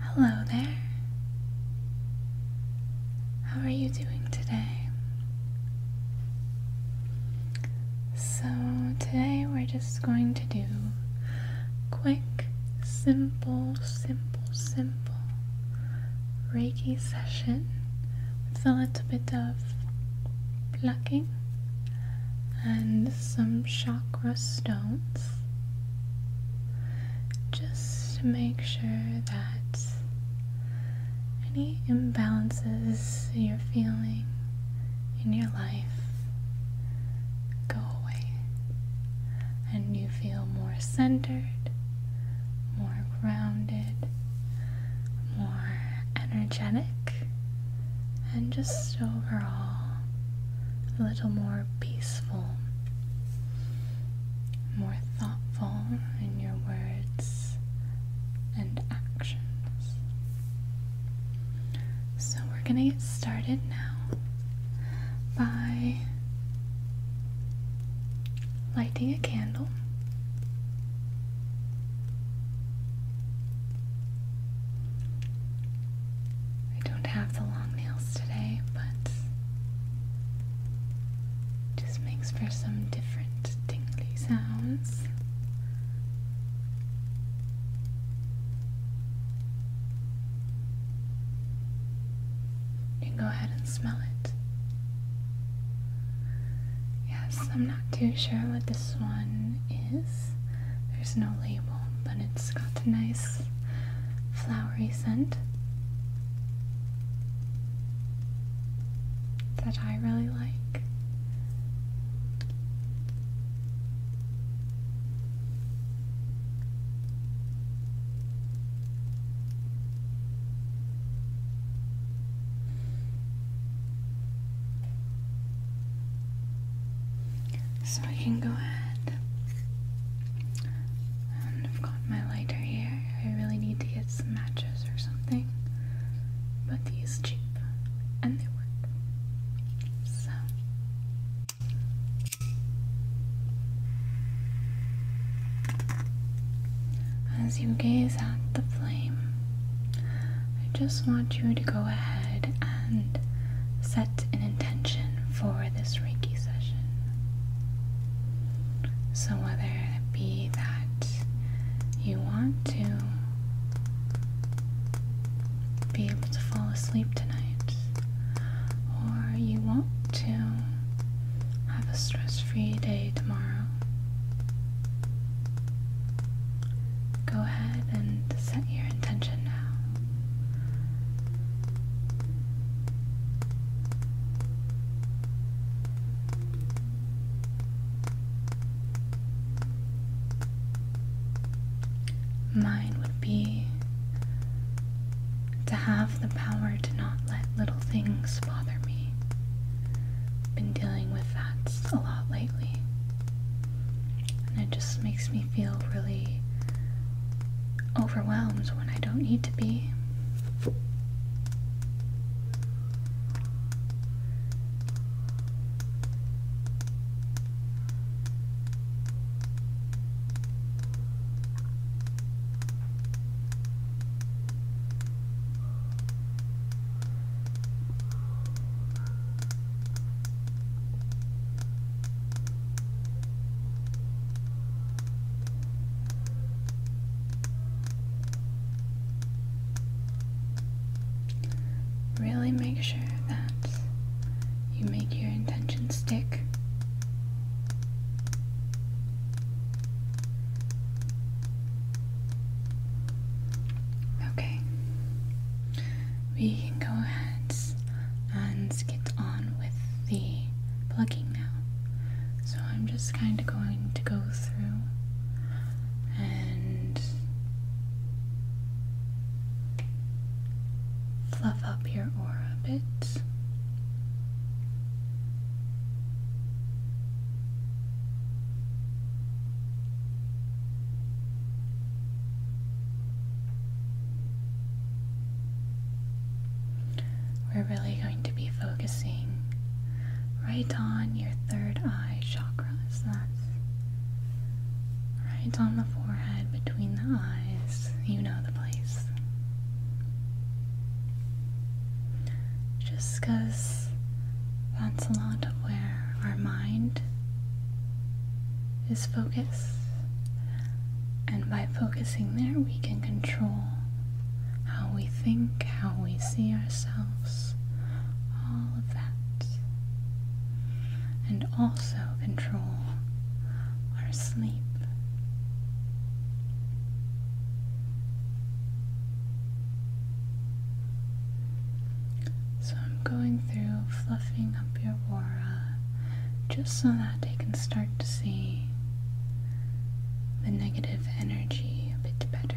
Hello there. How are you doing today? So, today we're just going to do quick, simple, simple, simple Reiki session with a little bit of plucking and some chakra stones just to make sure that any imbalances you're feeling in your life go away and you feel more centered, more grounded, more energetic, and just overall a little more peaceful, more thoughtful in your words and actions. So, we're going to get started now by lighting a candle. I don't have the long nails today, but just makes for some different tingly sounds. You can go ahead and smell it. Yes, I'm not too sure what this one is. There's no label, but it's got a nice flowery scent that I really like. So I can go ahead. And I've got my lighter here. I really need to get some matches or something. But these cheap and they work. So as you gaze at the flame, I just want you to go ahead and set an intention for this Reiki session. So, whether it be that you want to be able to fall asleep tonight, or you want to have a stress free day tomorrow, go ahead and set your intention now. Mine would be to have the power to not let little things bother me. Been dealing with that a lot lately. And it just makes me feel really overwhelmed when I don't need to be. Really make sure that you make your intention stick. Okay, we can go ahead and get on with the plugging now. So I'm just kind of going to go through and fluff up your aura a bit. We're really going to be focusing right on your third eye chakra. that's right on the forehead between the eyes. You know the place. Just because that's a lot of where our mind is focus. And by focusing there, we can control how we think, how we see ourselves, all of that. And also control our sleep. So I'm going through fluffing your aura just so that they can start to see the negative energy a bit better.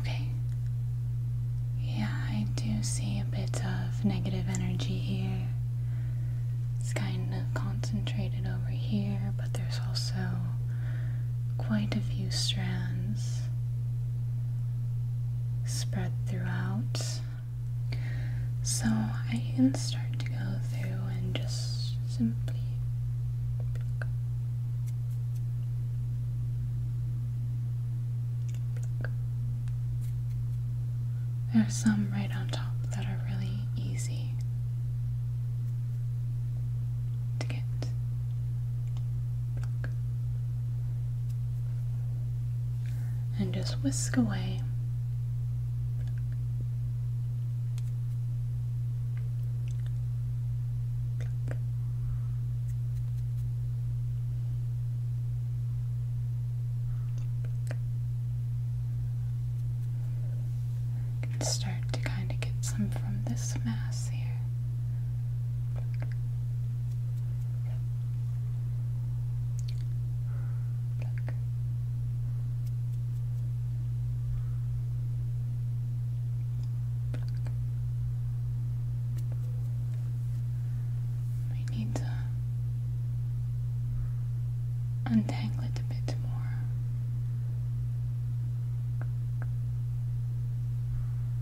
Okay. Yeah, I do see a bit of negative energy here. It's kind of concentrated over here, but there's also quite a few strands spread throughout. So I can start to go through and just simply pluck. There are some right on top that are really easy to get and just whisk away. You start to kind of get some from this mass here. Pluck. We need to untangle it a bit more.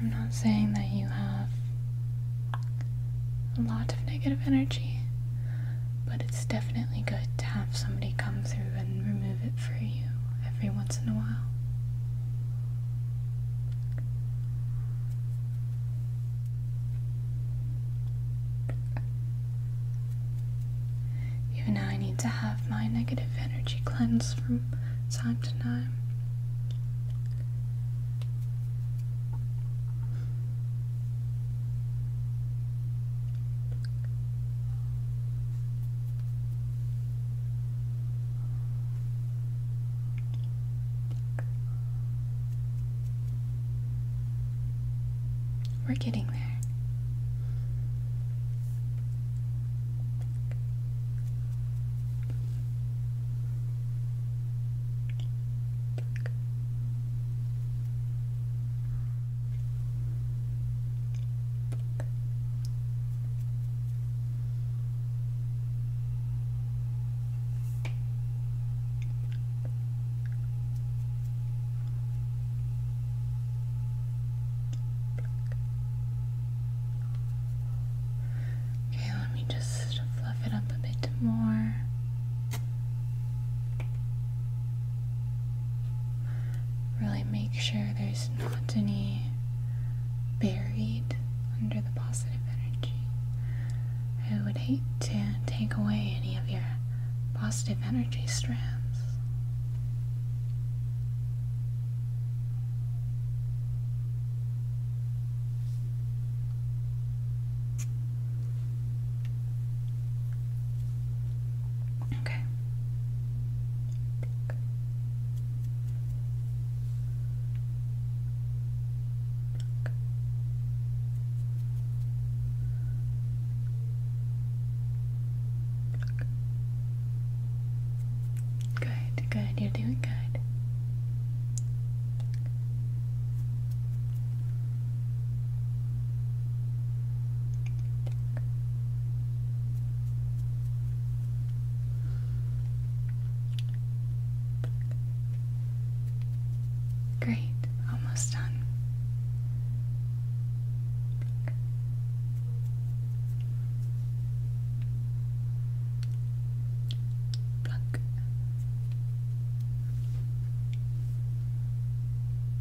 I'm not saying that you have a lot of negative energy but it's definitely good to have somebody come through and remove it for you every once in a while. Even now, I need to have my negative energy cleansed from time to time. We're getting there. Okay, let me just fluff it up a bit more. Really make sure there's not any buried under the positive energy. I would hate to take away any of your positive energy strands. Okay. Pluck. Pluck. Good, good, you're doing good. Great, almost done. Pluck.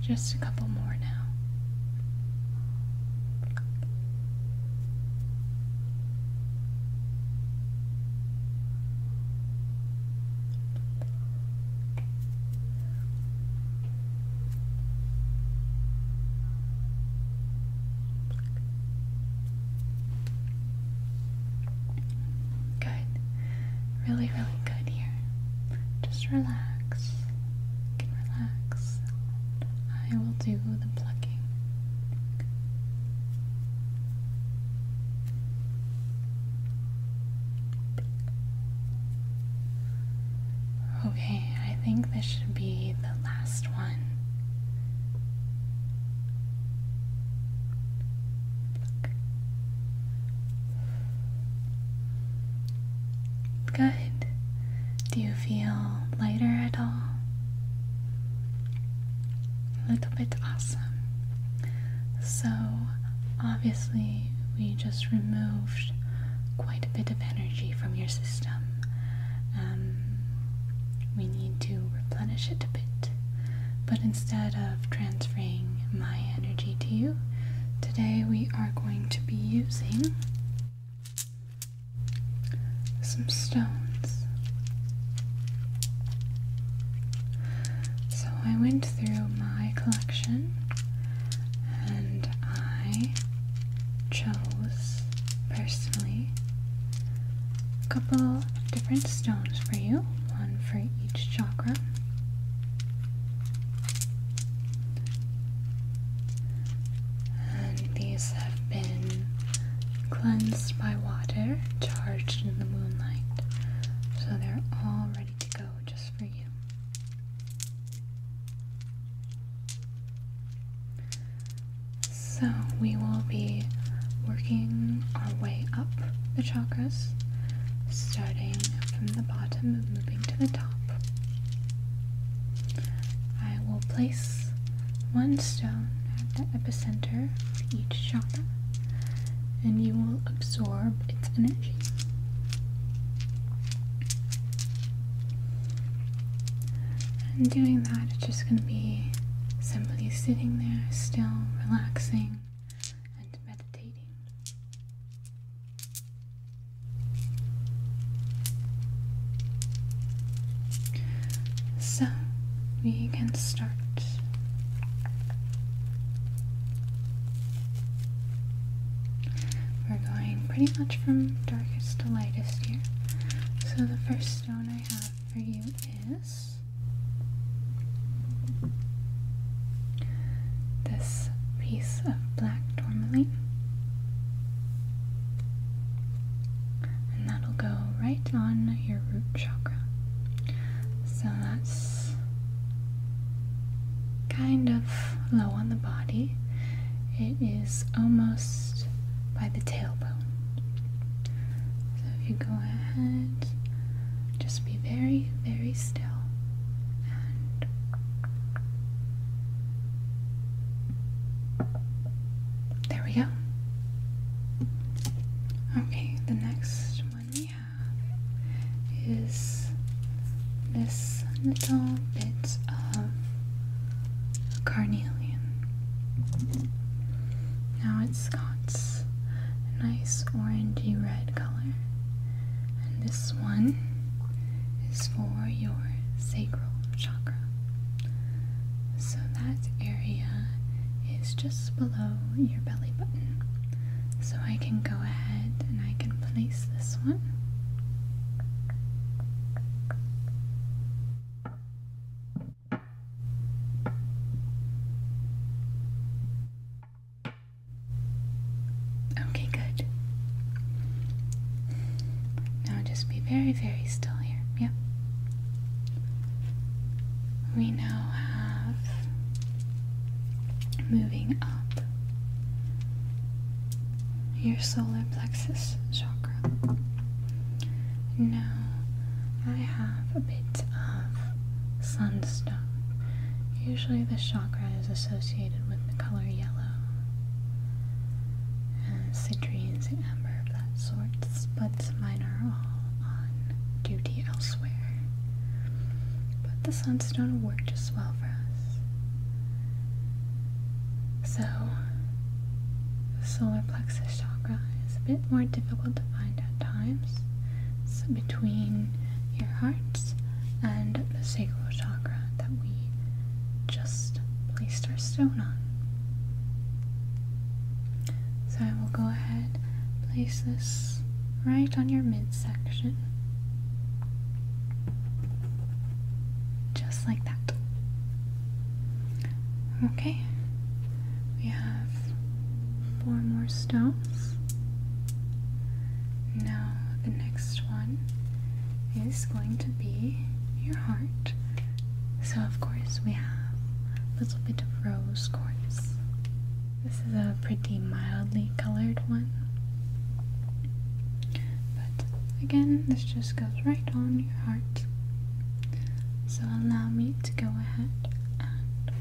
Just a couple more now. Good. Really, really good here. Just relax. You relax. I will do the plucking. Okay, I think this should be the last one. Good. Do you feel lighter at all? A little bit awesome. So, obviously, we just removed quite a bit of energy from your system. Um, we need to replenish it a bit. But instead of transferring my energy to you, today we are going to be using some stones. So I went through my collection and I chose personally a couple different stones for you, one for each chakra. And these have been cleansed by water, charged in the moonlight. So they're all ready to go just for you. So we will be working our way up the chakras, starting from the bottom and moving to the top. I will place one stone at the epicenter for each chakra, and you will absorb its energy. And doing that, it's just going to be simply sitting there, still relaxing and meditating. So, we can start. We're going pretty much from darkest to lightest here. So, the first stone I have for you is this piece of black tourmaline. And that'll go right on your root chakra. So that's kind of low on the body. It is almost by the tailbone. So if you go ahead, just be very, very still there we go. Okay, the next one we have is this little bit of carnelian. Now it's got a nice orangey red color, and this one is for your sacral chakra. So that area is just below your belly button. So I can go ahead and I can place this one. Okay, good. Now just be very, very still here. Yep. We now have moving up your solar plexus chakra chakra. Now, I have a bit of sunstone. Usually, the chakra is associated with the color yellow, and citrines and amber of that sort, but mine are all on duty elsewhere. But the sunstone will work just well for us. So, the solar plexus chakra is a bit more difficult to find at times. It's between your hearts and the sacral chakra that we just placed our stone on. So I will go ahead, place this right on your midsection. Just like that. Okay, we have four more stones. Now, the next one is going to be your heart. So, of course, we have a little bit of rose quartz. This is a pretty mildly colored one. But again, this just goes right on your heart. So allow me to go ahead and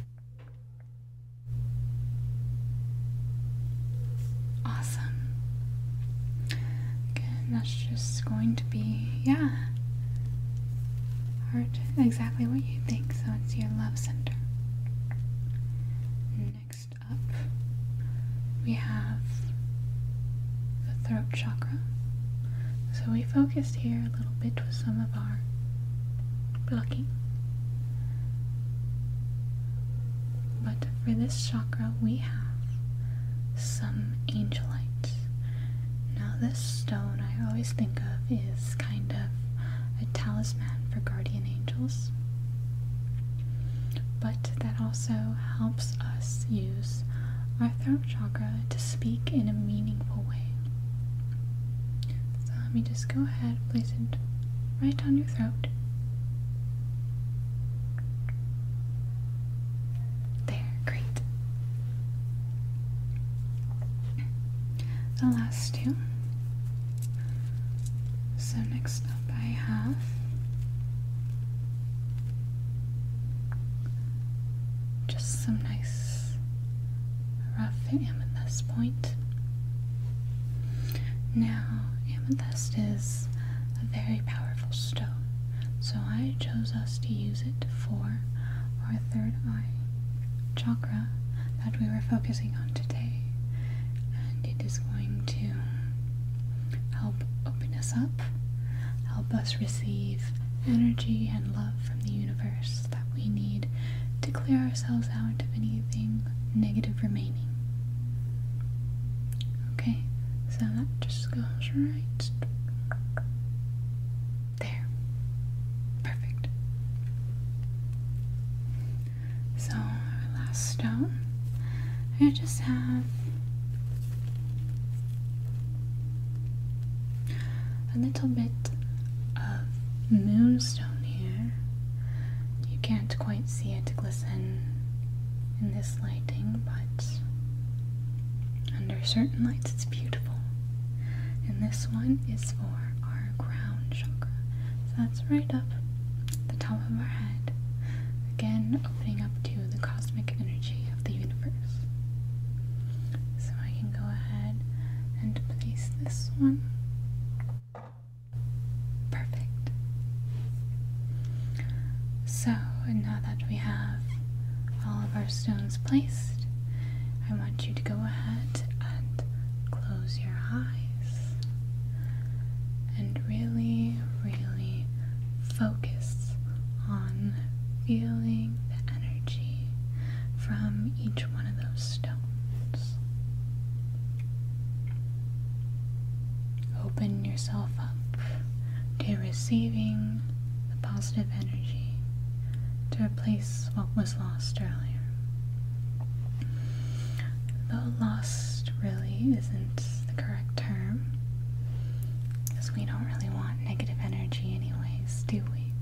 awesome. Okay, that's just going to be yeah. Heart exactly what you think, so it's your love center. Next up we have the throat chakra. So we focused here a little bit with some of our blocking. But for this chakra, we have some angelite. Now, this stone I always think of is kind of a talisman for guardian angels, but that also helps us use our throat chakra to speak in a meaningful way. So let me just go ahead, place it right down your throat. There, great. The last two. So next up I have just some nice rough amethyst point. Now, amethyst is a very powerful stone, so I chose us to use it for our third eye chakra that we were focusing on today. And it is going to help open us up, help us receive energy and love from the universe that we need to clear ourselves out of anything negative remaining. Okay, so that just goes right there. Perfect. So, our last stone, I just have a little bit of moonstone here. You can't quite see it glisten in this lighting, but under certain lights it's beautiful. And this one is for our crown chakra. So that's right up the top of our head. Again, opening up to the cosmic energy of the universe. So I can go ahead and place this one. Perfect. So now that we have all of our stones placed, I want you to go ahead and close your eyes and really, really focus on feeling the energy from each one of those stones. Open yourself up to receiving the positive energy to replace what was lost earlier. Though lost really isn't the correct term because we don't really want negative energy, anyways, do we?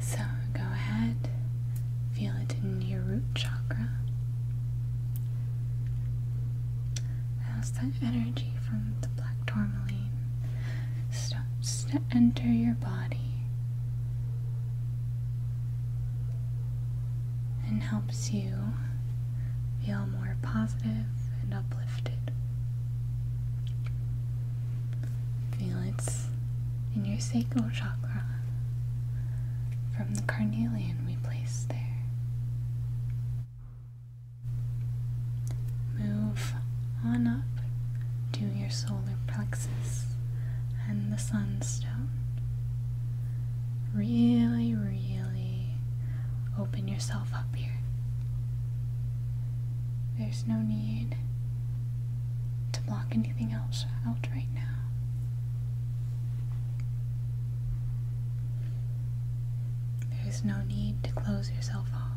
So go ahead, feel it in your root chakra. As that energy from the black tourmaline starts to enter your body and helps you feel more positive and uplifted. Feel it in your sacral chakra from the carnelian we placed there. Move on up to your solar plexus and the sunstone. Really, really open yourself up here. There's no need to block anything else out right now. There's no need to close yourself off.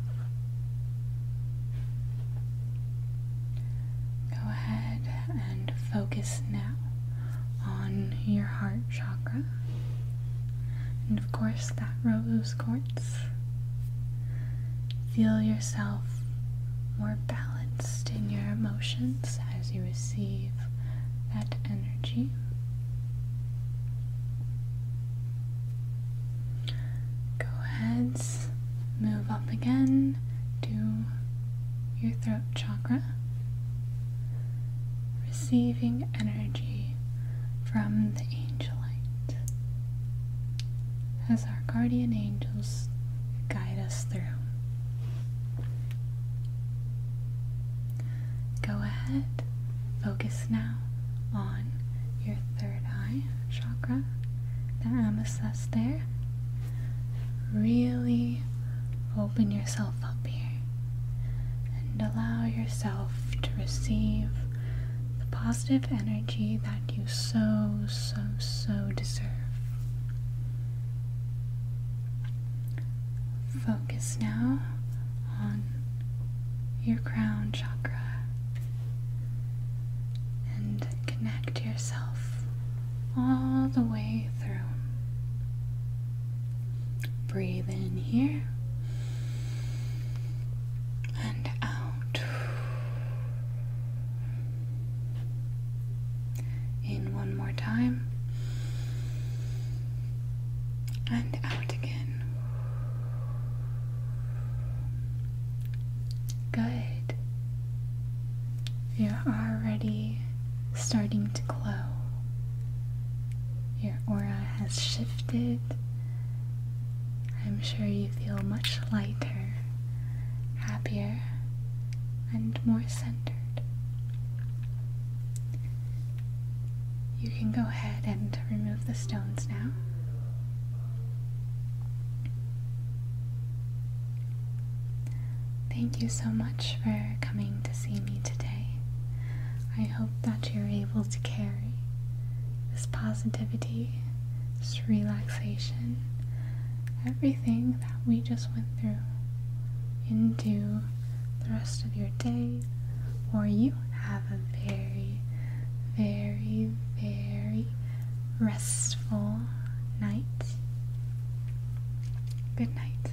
Go ahead and focus now on your heart chakra. And of course, that rose quartz. Feel yourself more balanced in your emotions as you receive that energy. Go ahead, move up again do your throat chakra receiving energy from the angel light as our guardian angels guide us through. Go ahead, focus now on your third eye chakra, the amethyst there. Really open yourself up here and allow yourself to receive the positive energy that you so, so, so deserve. Focus now on your crown chakra and connect yourself all the way through. Breathe in here and out. In one more time and out again. Good. You're already starting to glow. Your aura has shifted. I'm sure you feel much lighter, happier, and more centered. You can go ahead and remove the stones now. Thank you so much for coming to see me today. I hope that you're able to carry this positivity, this relaxation, everything that we just went through into the rest of your day, or you have a very, very, very restful night. Good night.